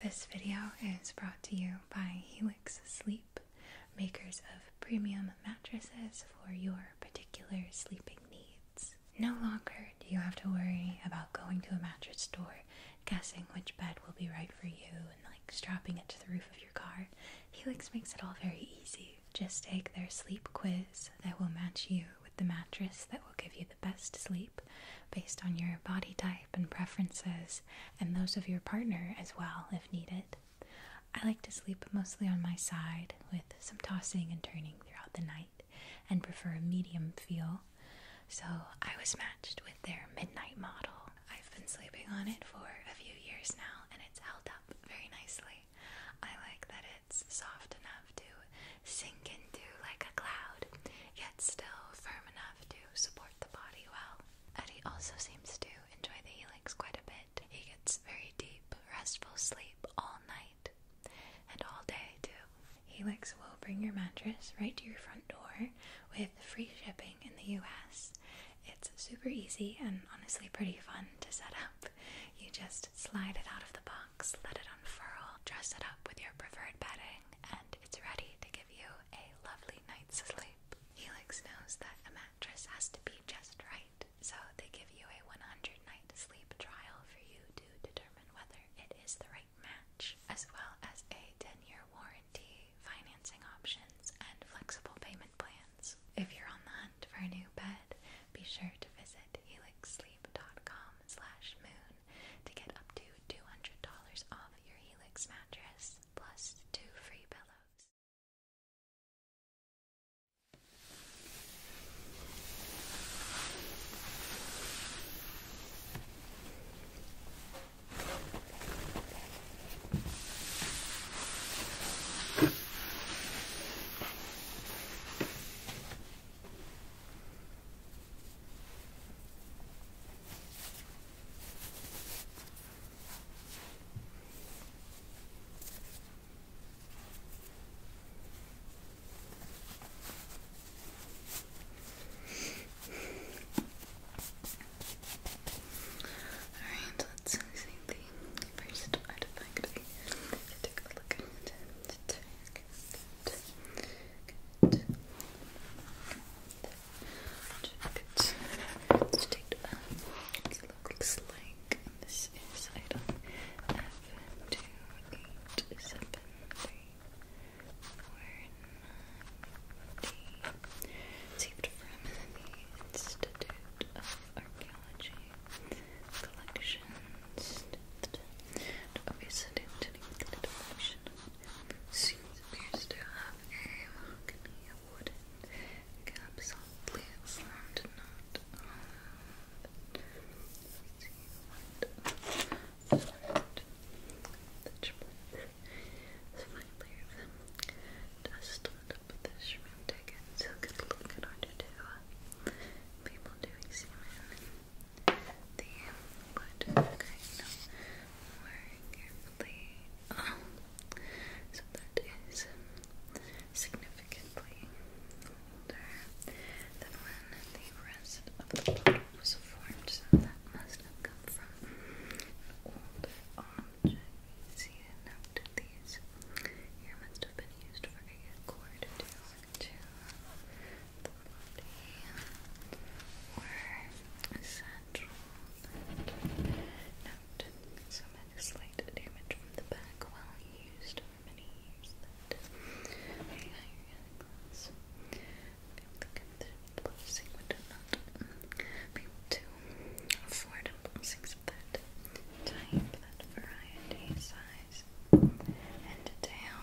This video is brought to you by Helix Sleep, makers of premium mattresses for your particular sleeping needs. No longer do you have to worry about going to a mattress store, guessing which bed will be right for you, and like strapping it to the roof of your car. Helix makes it all very easy. Just take their sleep quiz that will match you with the mattress that will give you the best sleep based on your body type and preferences, and those of your partner as well if needed. I like to sleep mostly on my side with some tossing and turning throughout the night and prefer a medium feel. So I was matched with their midnight model. I've been sleeping on it for a few years now and it's held up very nicely. I like that it's soft enough to sink into like a cloud, yet still firm enough to support the body well. Eddie also seems to enjoy the helix quite a bit. He gets very deep, restful sleep all night and all day too. Helix will bring your mattress right to your front door with free shipping in the US. It's super easy and honestly pretty fun to set up. You just slide it out of the box, let it unfurl, dress it up with your preferred bedding, and it's ready to give you a lovely night's sleep. Helix knows that a mattress has to be just right, so they give you a 100 night sleep trial for you to determine whether it is the right match, as well as a 10 year warranty, financing options, and flexible payment plans. If you're on the hunt for a new bed, be sure to visit helixsleep.com moon to get up to $200 off your Helix mattress plus two free pillows. Alright, let's see the first artifact. Take a look at it jacket. let It looks like this is item F two eight seven three four nine Saved from the Institute of Archaeology Collections. Obviously, collection Soon appears to have a mahogany wooden capsule formed what formed the chiplet. Slightly even dusted up the shrimp ticket so it could look to people the wood more carefully. so that is significantly older than when the rest of the bottle was formed, so that must have come from an older object. You see a these here must have been used for a cord to the body or a natural. Okay. slight damage from the back while used for many years that a higher class. be able to afford blessings of that type, that variety, size, and detail.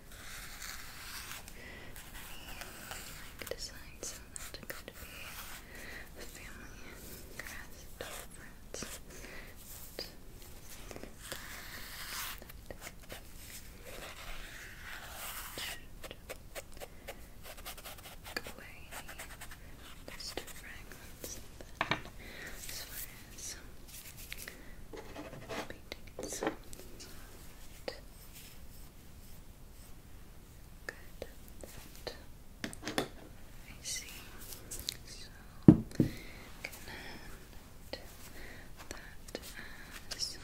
like design that could be family and grass difference. Away those fragments, and as far as painting itself, Good. Right. I see. So connect that as add to European eighteen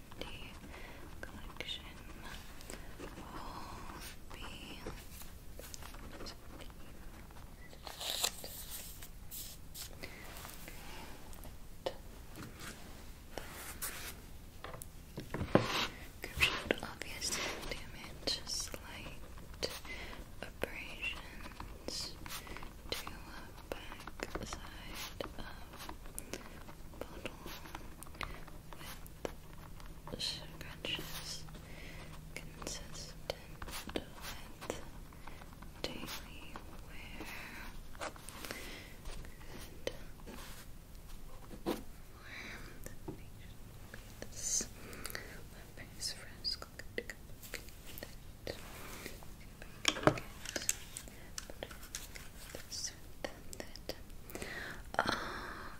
hundred collection will be damage slight abrasions to the back of bottle with scratches consistent with daily wear. Good. Warm. This face frisk. Good. Good. Good. Good.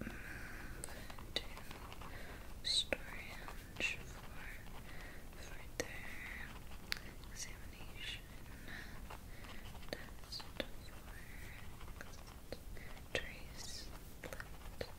move to storage for further examination. Test for trace split.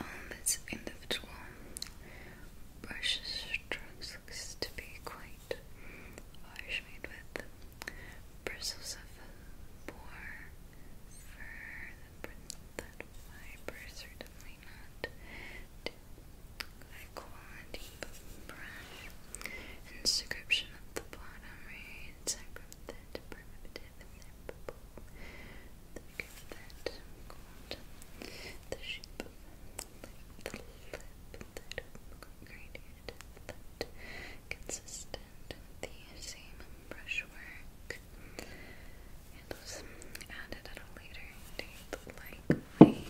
Um, its individual brush strokes looks to be quite harsh, made with bristles of boar fur. That fiber certainly not high quality, brush. Inscription at the bottom reads: that called the shape of the lip that I've created consistent the same brushwork and was added at a later date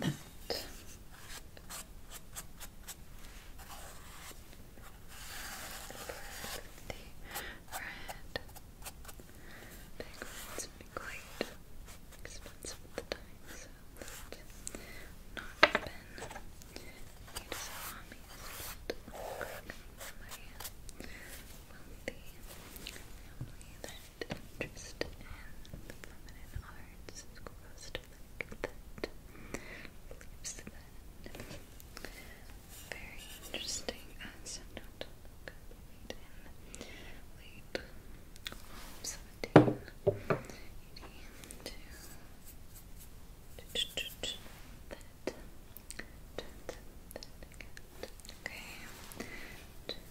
likely the red. Big reds be quite expensive at the time, so not been so often. But my wealthy family that in the feminine arts is like that. Very interesting. And so not complete in late seventeen eighty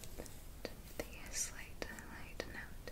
two. Okay. The slight highlight note.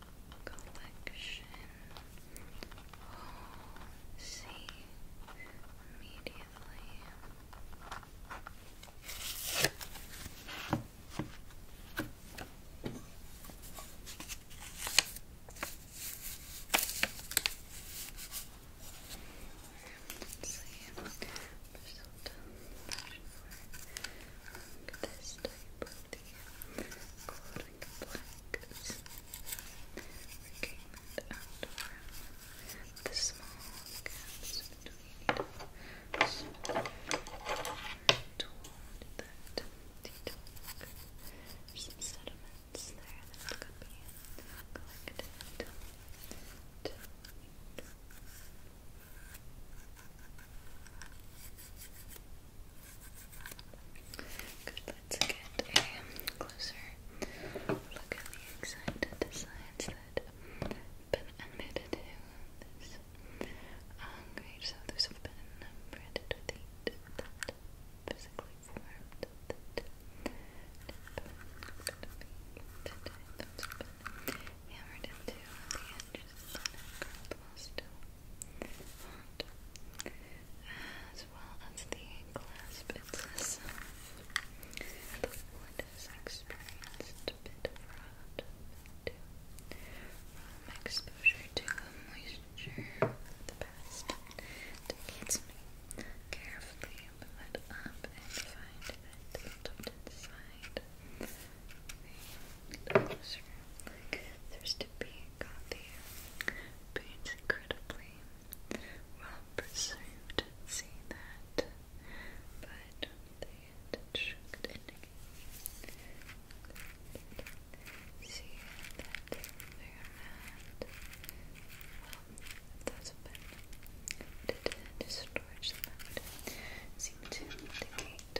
collection. Oh, see immediately. Let's see, i for this type of the glowing blacks that came out from the small gaps between it, so told that the dog, there's some sediments there that could be collected to make Good, let's get a closer look at the exact designs that have been admitted to this um, So those have been branded physically formed that have been hammered into the edges and font, as well as the clasp itself. The wood has experienced a bit rot due uh, from exposure to moisture over the past decades. We carefully move up and find that the tilted side the thirsty being got the paints incredibly well preserved. See that, but they should indicate. See that they are mad. Well, that's a bit. Did the storage method seem to indicate?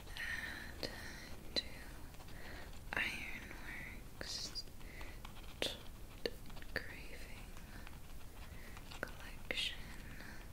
and to uh, Ironworks Craving Collection. Well, um,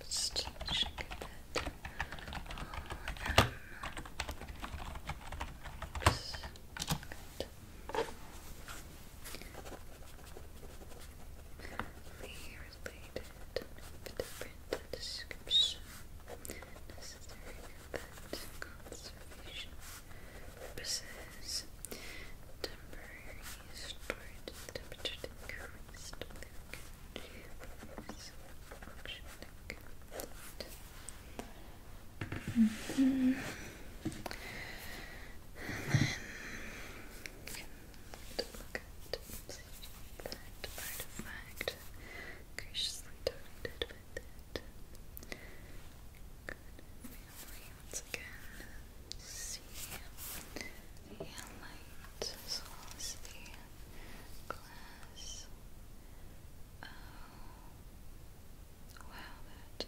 just check that. Oh, um, oops. Good. Related, in the description. Necessary for conservation purposes. Temporary storage temperature decreased. then look at artifact graciously targeted with it. once again, see the light glass. Oh, wow, that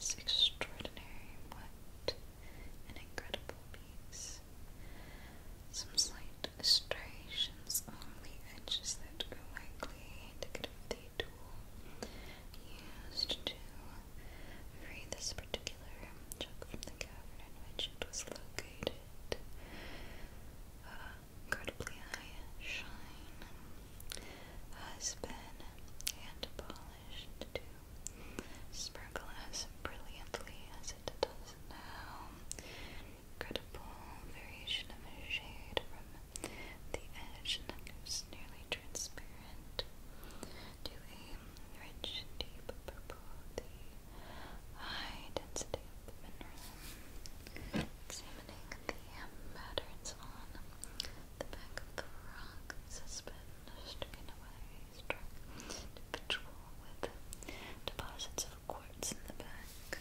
is extraordinary. What an incredible piece. Some slight striations on the edges that are likely the tool used to free this particular chunk from the cavern in which it was located. Uh, incredibly high shine has been hand polished to sparkle as brilliantly as it does now incredible variation of shade from the edge that goes nearly transparent to a rich, deep purple, the high density of the mineral. Examining the patterns on the back of the rock suspended in a way struck individual with deposits of quartz in the back.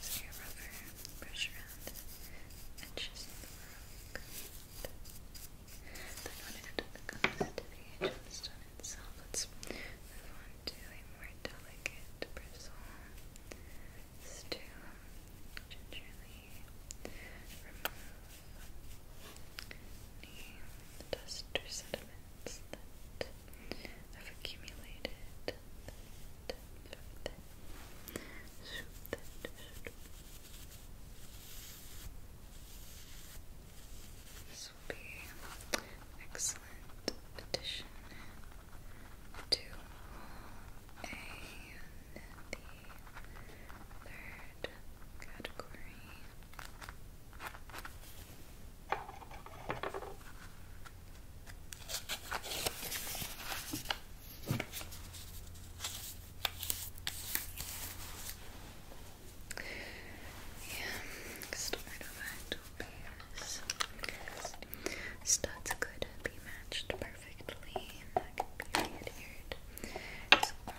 So your rubber brush around edges of the rock. Then when it comes to the gemstone itself, let's move on to a more delicate bristle. to gingerly remove the dust or sediments that I've accumulated this will be excellent addition to a the third category next I do studs could be matched perfectly and that could be adhered.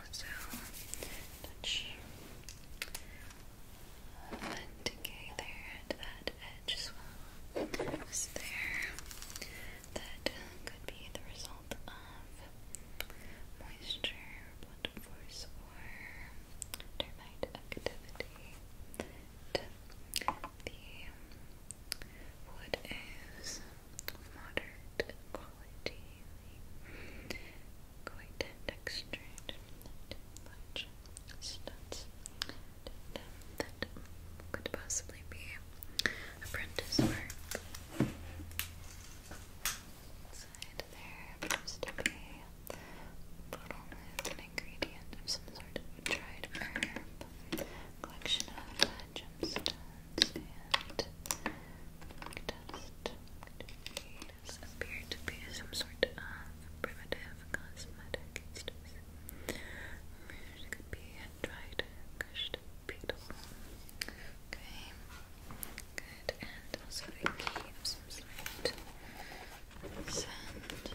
also touch but there and that edge as well was there. That uh, could be the result of moisture, blood force, or termite activity. the wood is moderate quality, quite textured, that could possibly be apprentice work. Inside there appears be a bottle with an ingredient of some sort of dried herb, collection of gemstones and dust. This appeared to be some sort of primitive cosmetic instrument. could be a dried, crushed beetle. Okay, And also a key of some sort. Send to the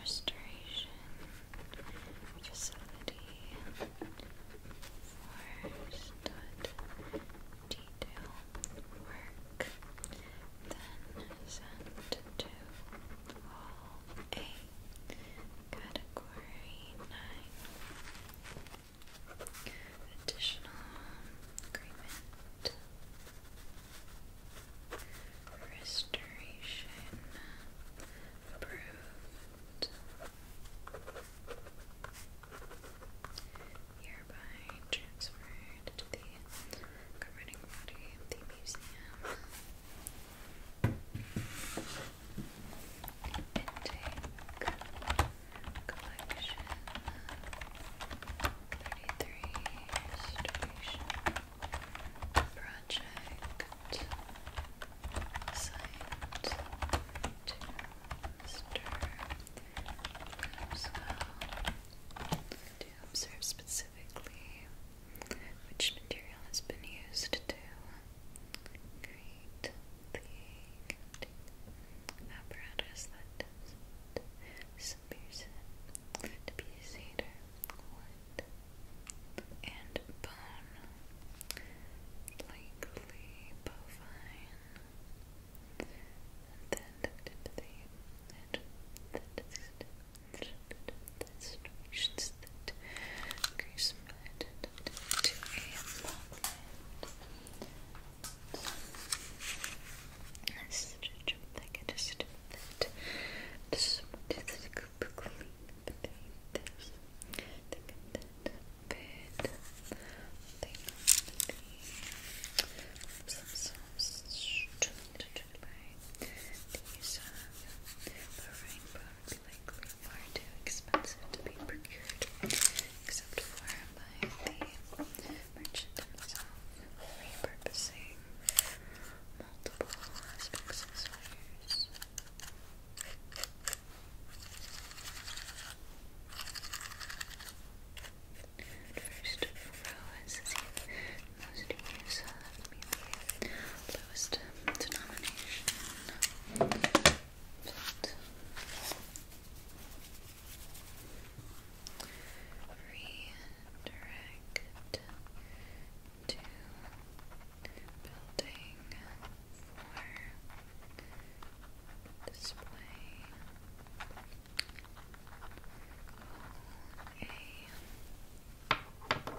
restoration facility for stood detail work then sent to all A category 9 additional agreement restoration approved hereby transferred to the governing body of the museum. Intake collection thirty-three restoration project assigned to stir as to observe specifically which material has been used to create the apparatus that disappears it to be cedar, wood, and bone, likely bovine and then looked into the edge the situations that Grace had to a moment. This is a jump like I just did that. Just wanted to go clean between this. Look at that bed thing on the these are likely far too expensive to be procured, except for by the merchant himself, repurposing multiple aspects of spheres. First row is the most use of lowest denomination. redirect to building for display Okay. Tamarind directed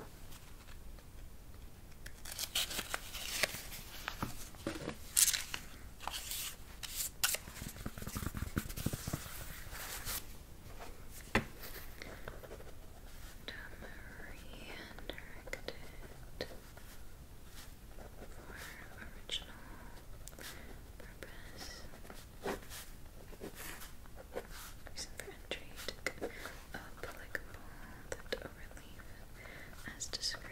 for original purpose. Reason for entry took a public ball that overleaf as described.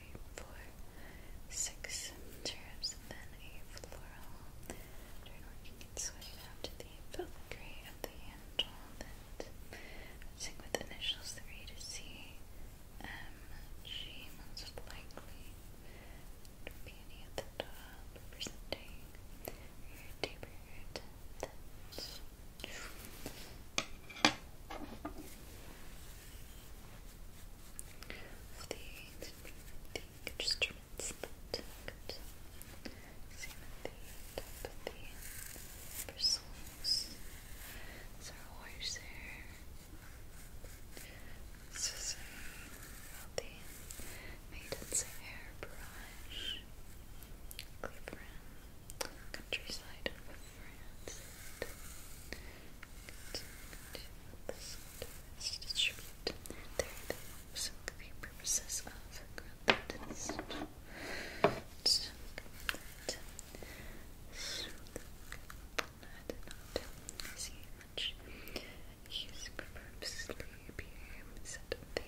three, four, six cherubs, and then a floral. Turn working its way down to the filigree of the handle. That with initials three to C, M, G, most likely. And beauty at the top, representing your deeper root. That's Things the instruments that could bristles. There's our wires there. Hairbrush Cleveland Countryside of France is distributed there for purposes of grandest I did not see much use purposely appear set of the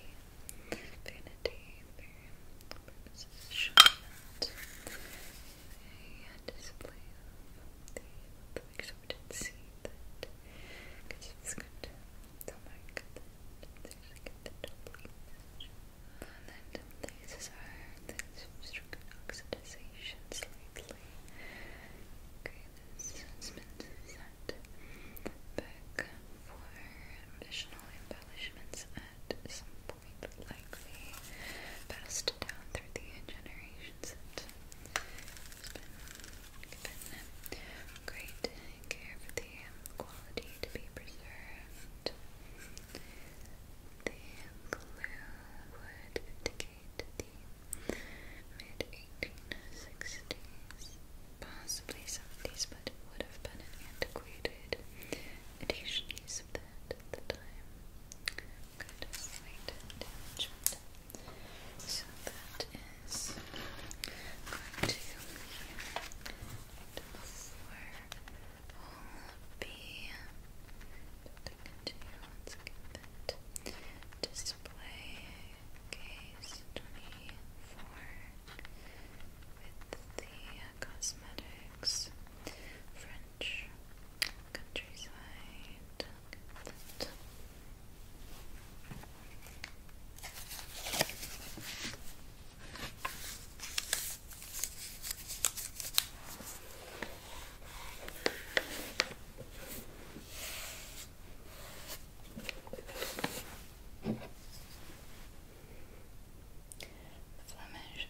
vanity purposes shown that a display of the make sure we did because it's going to mark that there's like the completeness and then these are things from strict oxidization slightly okay, this spins set back for additional embellishments at some point likely, but passed down through the generations great care for the quality to be preserved. The would indicate the mid-1860s. Possibly some of but would have been antiquated edition at the time good slight So that is going to be continue. display case twenty-four with the cosmetics. March, countryside. Flemish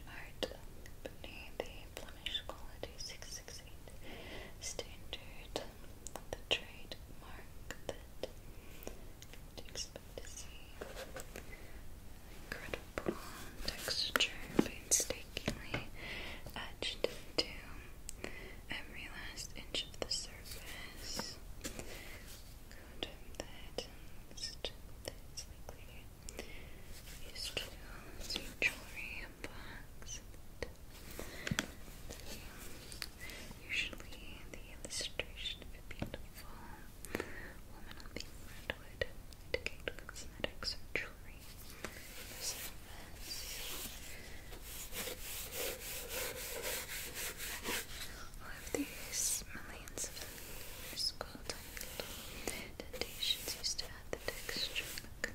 art company, the Flemish quality 668 standard, the trademark that you Incredible texture, painstakingly etched into every last inch of the surface. Good that it's likely used to see jewelry unboxed. Usually, the illustration of a beautiful woman on the front would indicate cosmetics or jewelry. This of these millions of years, cool tiny little used to add the texture and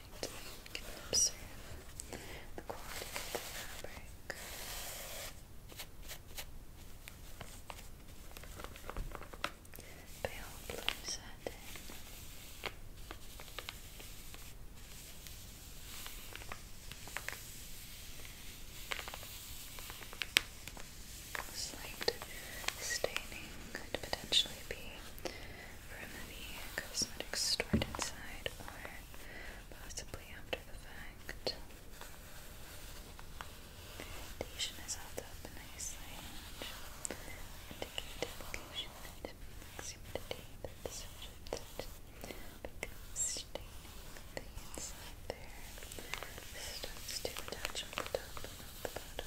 observe the quality of the fabric. Pale blue satin. Slight staining could potentially be from the cosmetic stored inside or possibly after the fact. The adhesion is held up nicely, which indicated location and proximity that the subject becomes staining the inside there. Starts to attach the top and the bottom.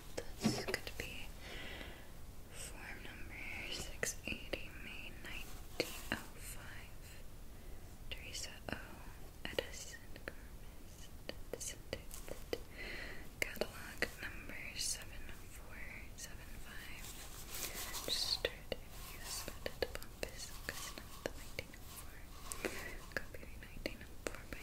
This could be form number 680, May 1905. Teresa O. Edison Garment. Catalog number 7475. Just start if you spotted the because not 1904. Copyright 1904 by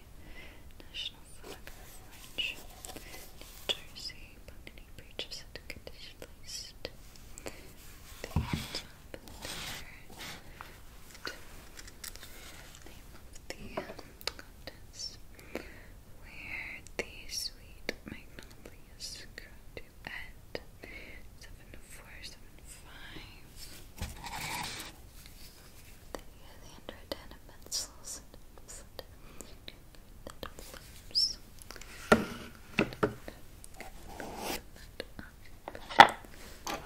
National flag of Jersey, but any breach of condition list. The hands up there. Name of the um, contents. Where the sweet magnolias to at. Seven four, seven five the android animals that blooms.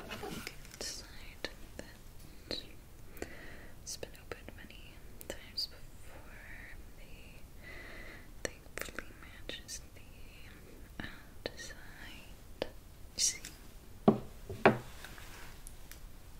Inside that it's been opened many times before. The thankfully matches the outside. See.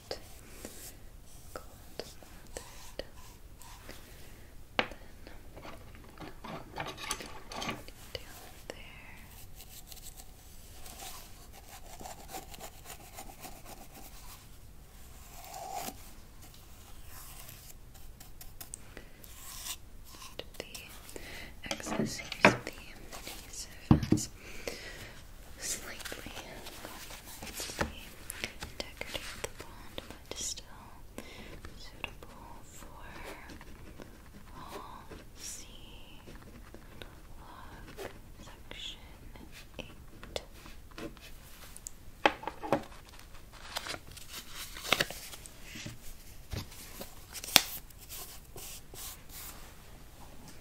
that cold smothered then down there and the excess here's the adhesive slightly compromised the integrity but still suitable for all C log section 8.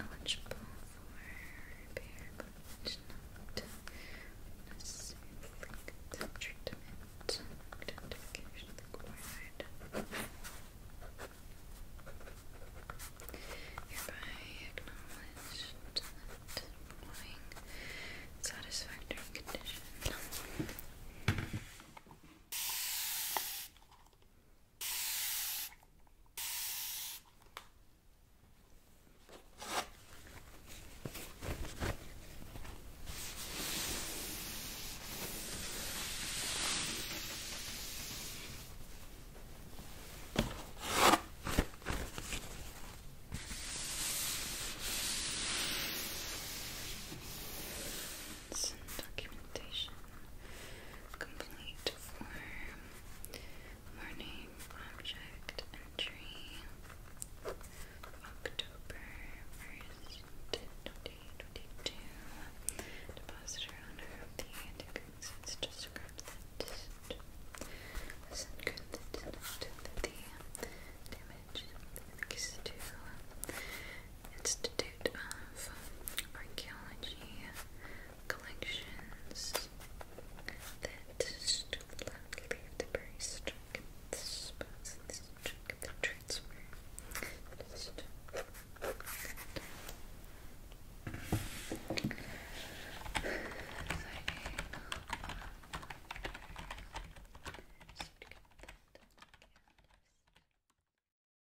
eligible for repair but not for treatment identification required. Hereby acknowledged that employing satisfactory condition. Some documentation Complete form. Morning object entry. October 1st, 2022. Depositor owner of the anticonstants just that this that the damage is to institute Institute of Archaeology collections that Stuvala Leavesbury struck at the